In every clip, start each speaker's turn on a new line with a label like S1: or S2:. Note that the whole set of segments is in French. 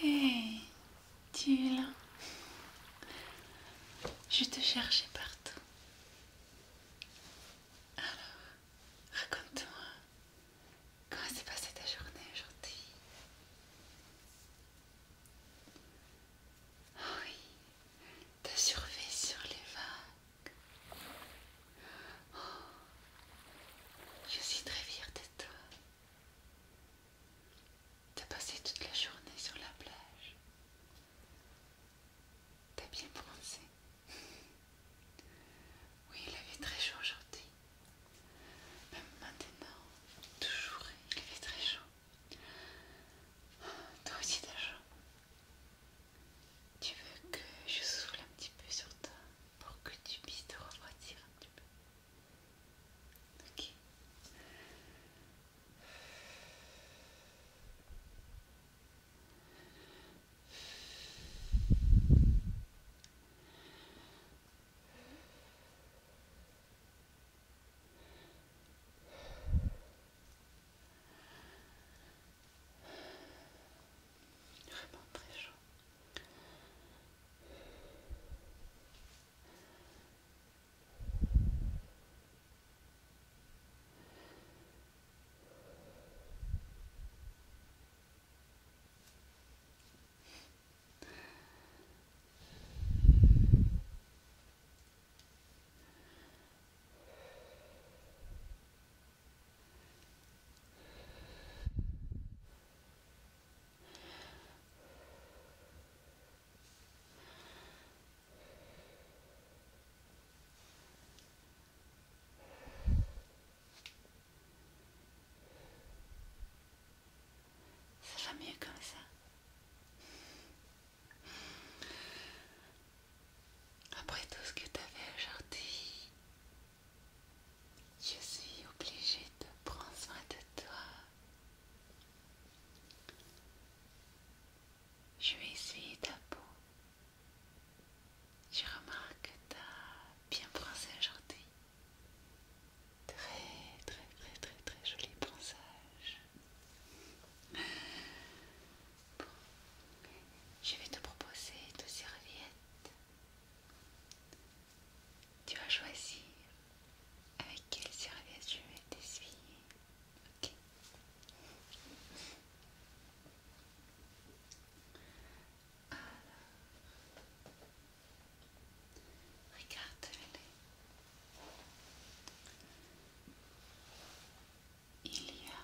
S1: hey, tu es là. Je te cherchais partout. Alors, raconte-moi, comment s'est passée ta journée aujourd'hui Oui, t'as survé sur les vagues. Je suis très fière de toi. de passé toute la journée sur la plage. T'as bien bronzé. Oui, il avait très chaud aujourd'hui. Même maintenant, toujours, il avait très chaud. Toi aussi t'as chaud. Tu veux que je souffle un petit peu sur toi pour que tu puisses te refroidir un petit peu Ok. Vraiment très chaud. Ça va mieux comme ça. Après tout ce que tu as aujourd'hui, je suis obligée de prendre soin de toi. Je vais essayer ta peau. Je remarque que tu bien broncé aujourd'hui. Très, très, très, très, très joli bronzage. Je vais te proposer deux serviettes. Tu vas choisir avec quelle serviette je vais t'essuyer. Ok. Alors. Regarde-les il y a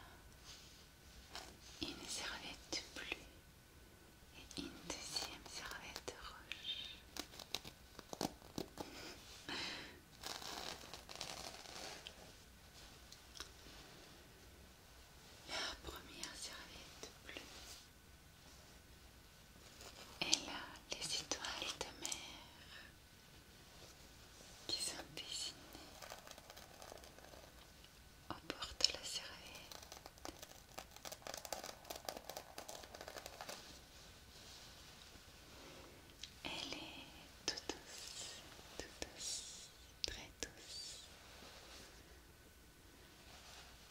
S1: une serviette bleue et une deuxième serviette rouge. La première serviette bleue. Et là, les étoiles de mer qui sont dessinées emporte la serviette. Elle est tout douce, tout douce, très douce.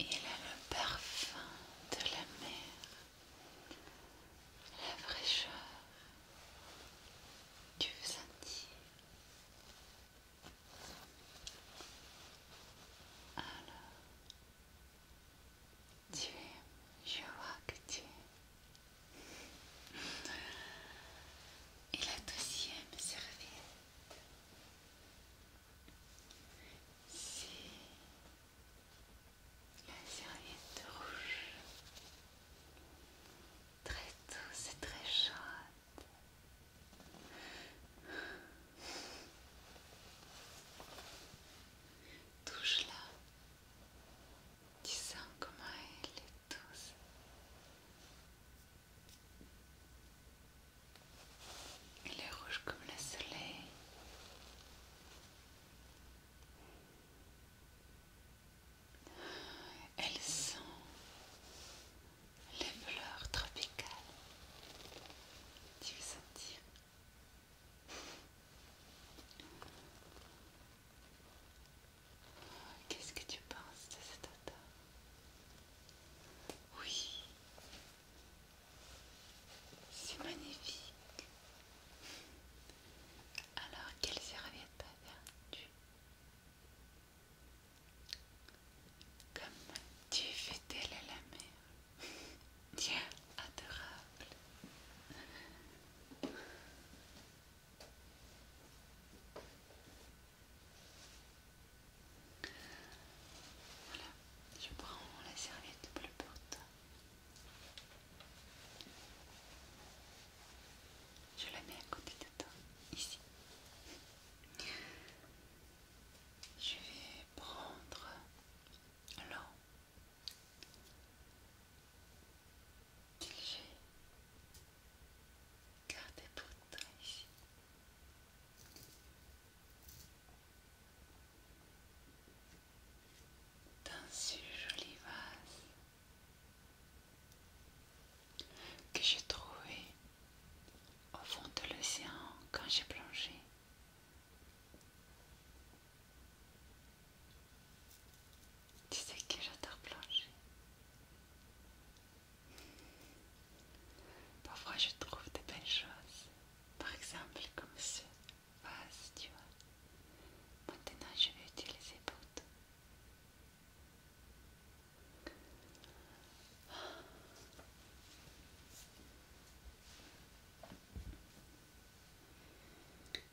S1: Et elle a le parfum de la mer, la fraîcheur. du sentier. Alors, tu je vois que tu es. Et la deuxième serviette, c'est la serviette rouge. Très douce et très chaude touche là, Tu sens comment elle est douce. Elle est rouge comme le soleil. Elles sont les fleurs tropicales. Tu veux Qu'est-ce que tu penses de cet odeur Oui, c'est magnifique. Alors, quelle serviette as-tu comme tu fais fidèle à la mer, tiens, adorable. Voilà, je prends la serviette bleue pour toi. Je la mets à côté de toi, ici. Je vais prendre l'eau que j'ai gardée tout le temps ici. Dans ce joli vase que j'ai trouvé au fond de l'océan quand j'ai plongé. Tu sais que j'adore plonger. Parfois je trouve de belles choses. Par exemple comme ce vase, tu vois. Maintenant je vais utiliser pour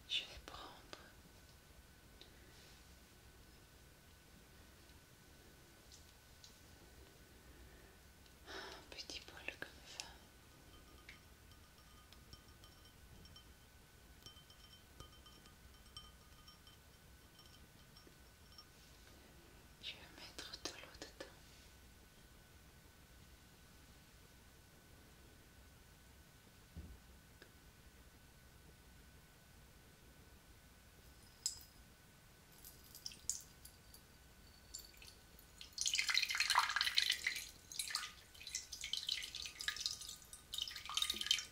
S1: je vais prendre un petit bol comme ça. Je vais mettre de l'eau dedans.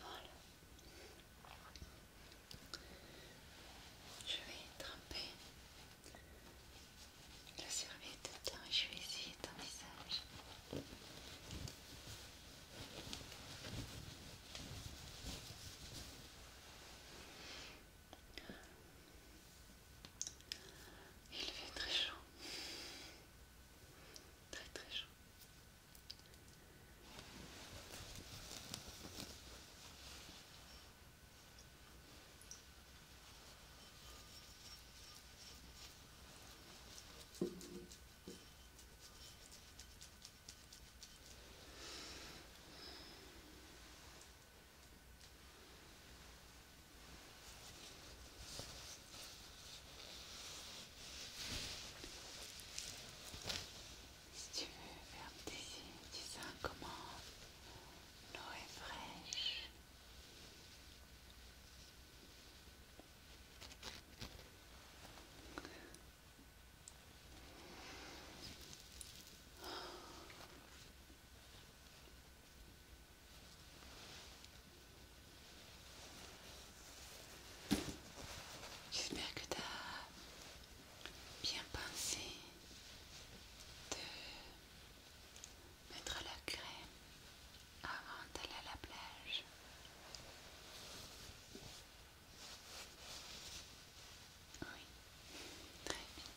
S1: Voilà. Je vais tremper la serviette et je vais essayer ton visage. Il fait très chaud. Très très chaud. Si tu veux faire signes, dis ça comment l'eau est fraîche. J'espère que tu as bien pensé de mettre la crème avant d'aller à la plage. Oui, très bien.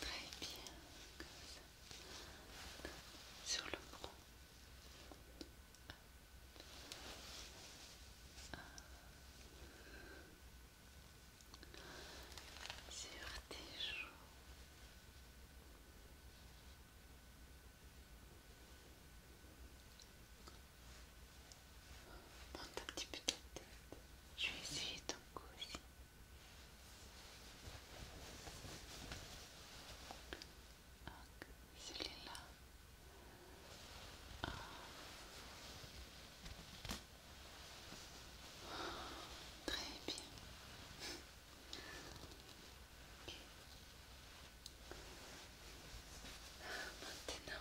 S1: Très bien, comme ça. Sur le front. Sur tes joues. Monte un petit peu ta tête. Je vais essayer celui-là. Très bien. Maintenant,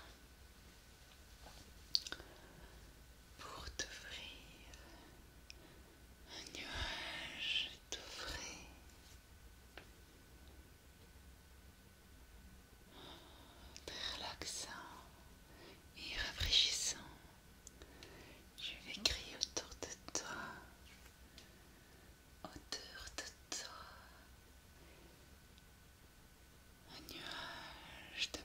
S1: pour t'ouvrir un nuage, t'offrir très relaxant et rafraîchissant. Je vais crier autour de toi, autour de toi, un nuage de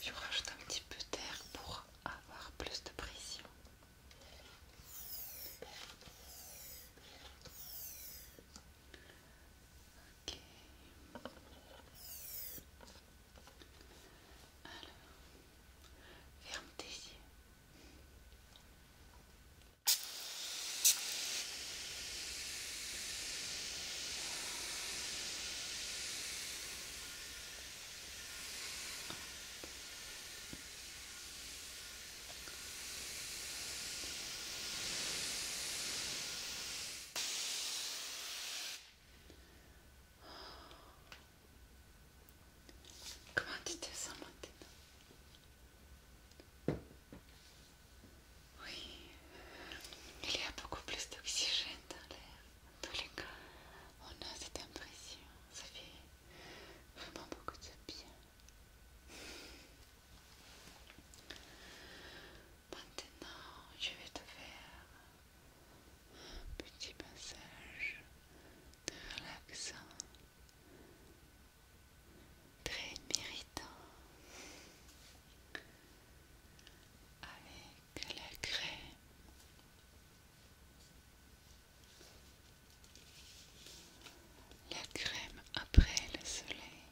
S1: Je rajoute un petit peu d'air pour avoir plus de pression. Ok. Alors, ferme tes yeux. Come on, did there someone did Oui, il y a beaucoup plus d'oxygène dans l'air. En tout les cas, on a cette impression, ça vraiment beaucoup de bien. Maintenant, je vais te faire un petit massage de relaxant, très méritant, avec la crème la crème après le soleil,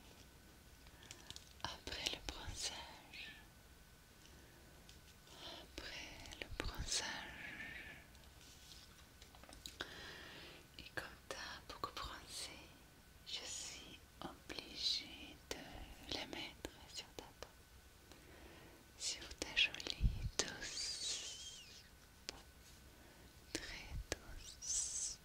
S1: après le bronzage, après le bronzage. Et comme t'as beaucoup bronzé, je suis obligée de la mettre sur ta peau sur ta jolie douce, très douce.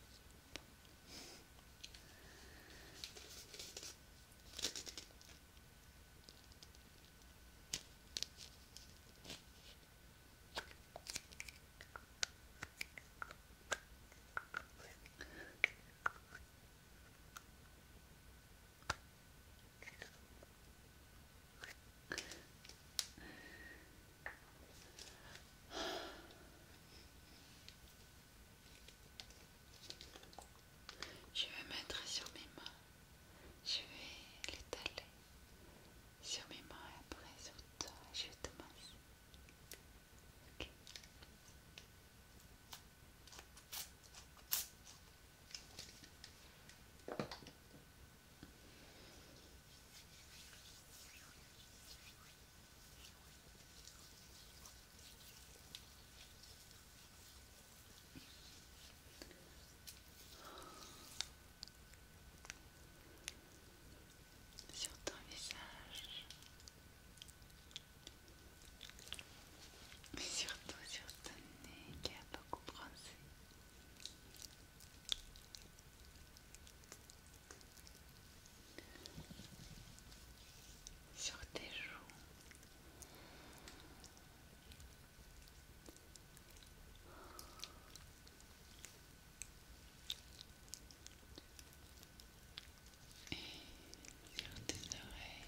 S1: Je vais mettre sur mes mains, je vais l'étaler sur mes mains et après sur toi, je te sur ton visage, surtout sur ton nez qui a beaucoup brancé sur tes joues. Et sur tes oreilles.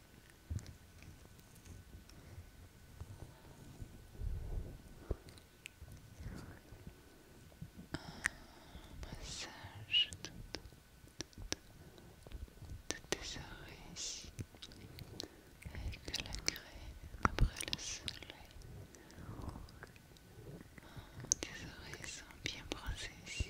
S1: Un massage de, tes oreilles ici avec la crème après le soleil. Tes oreilles sont bien brossées ici.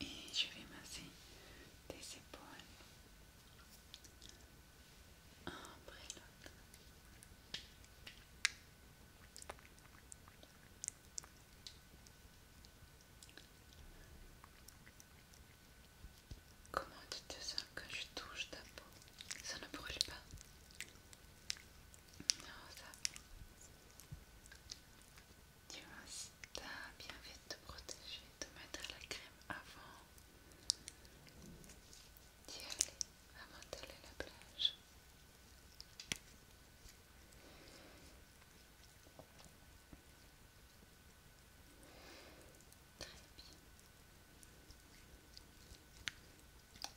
S1: Et je vais masser tes épaules après l'autre. Comment tu te sens quand je touche ta peau Ça ne brûle pas non, ça. Tu à bien vite te protéger, de mettre la crème avant d'y aller, avant d'aller à la plage. Très bien.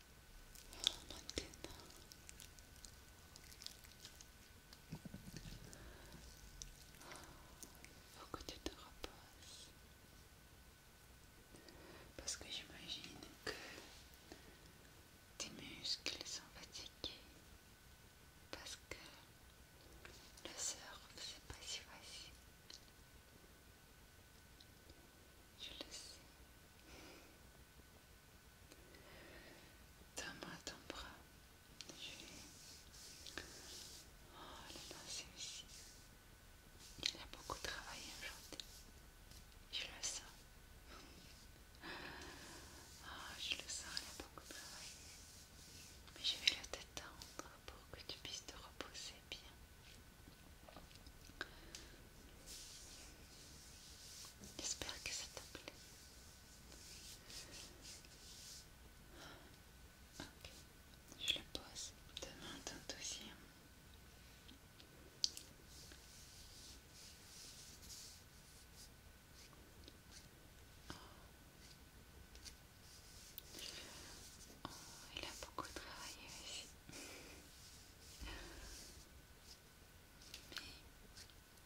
S1: maintenant faut que tu te repasses, parce que j'imagine que tes muscles sont fatigués parce que le surf c'est pas si facile je le sais ta oh, main, ton bras. Je Oh, le aussi. ici. Il a beaucoup travaillé aujourd'hui. Je le sens. Ah je le sens, il a beaucoup travaillé. Mais je vais le détendre pour que tu puisses te reposer bien. J'espère que ça t'a plu. Je le pose devant ton dossier. il a beaucoup travaillé ici.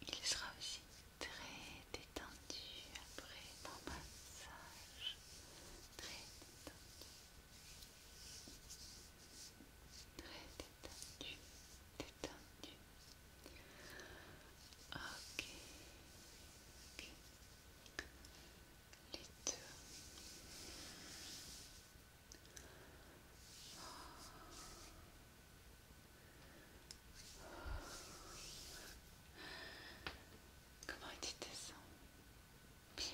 S1: Il sera aussi très détendu après ton massage. Très détendu. Très détendu. Détendu. Ok. OK Les deux. Comment était ça Bien.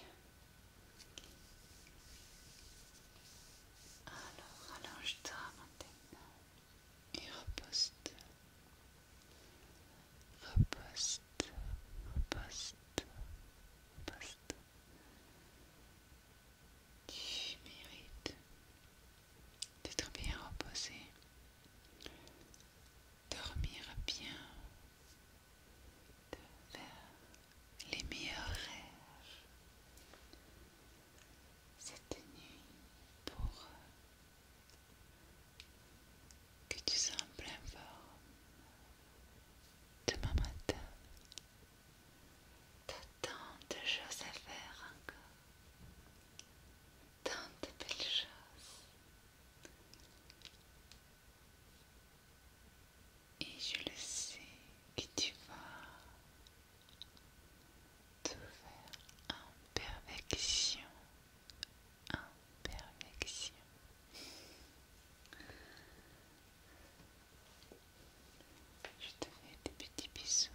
S1: Alors, allonge-toi maintenant et repose-toi. Repose-toi, repose-toi, tu mérites d'être bien reposé, dormir bien, de faire les meilleurs rêves cette nuit pour que tu sois en pleine forme demain matin. T'as tant de choses à faire encore, tant de belles choses. Et je le sais que tu vas tout faire en perfection, en perfection. Je te fais des petits bisous.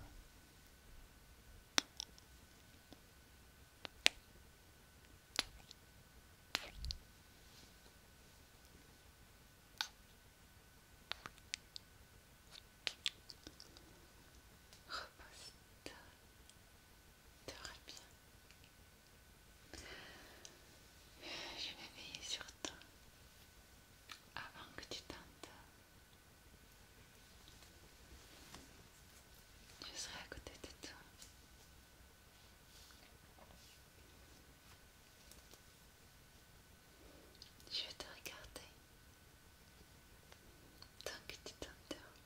S1: Repose-toi, te bien. Je vais veiller sur toi avant que tu tentes. Je serai à côté de toi. Je vais te regarder tant que tu t'endors.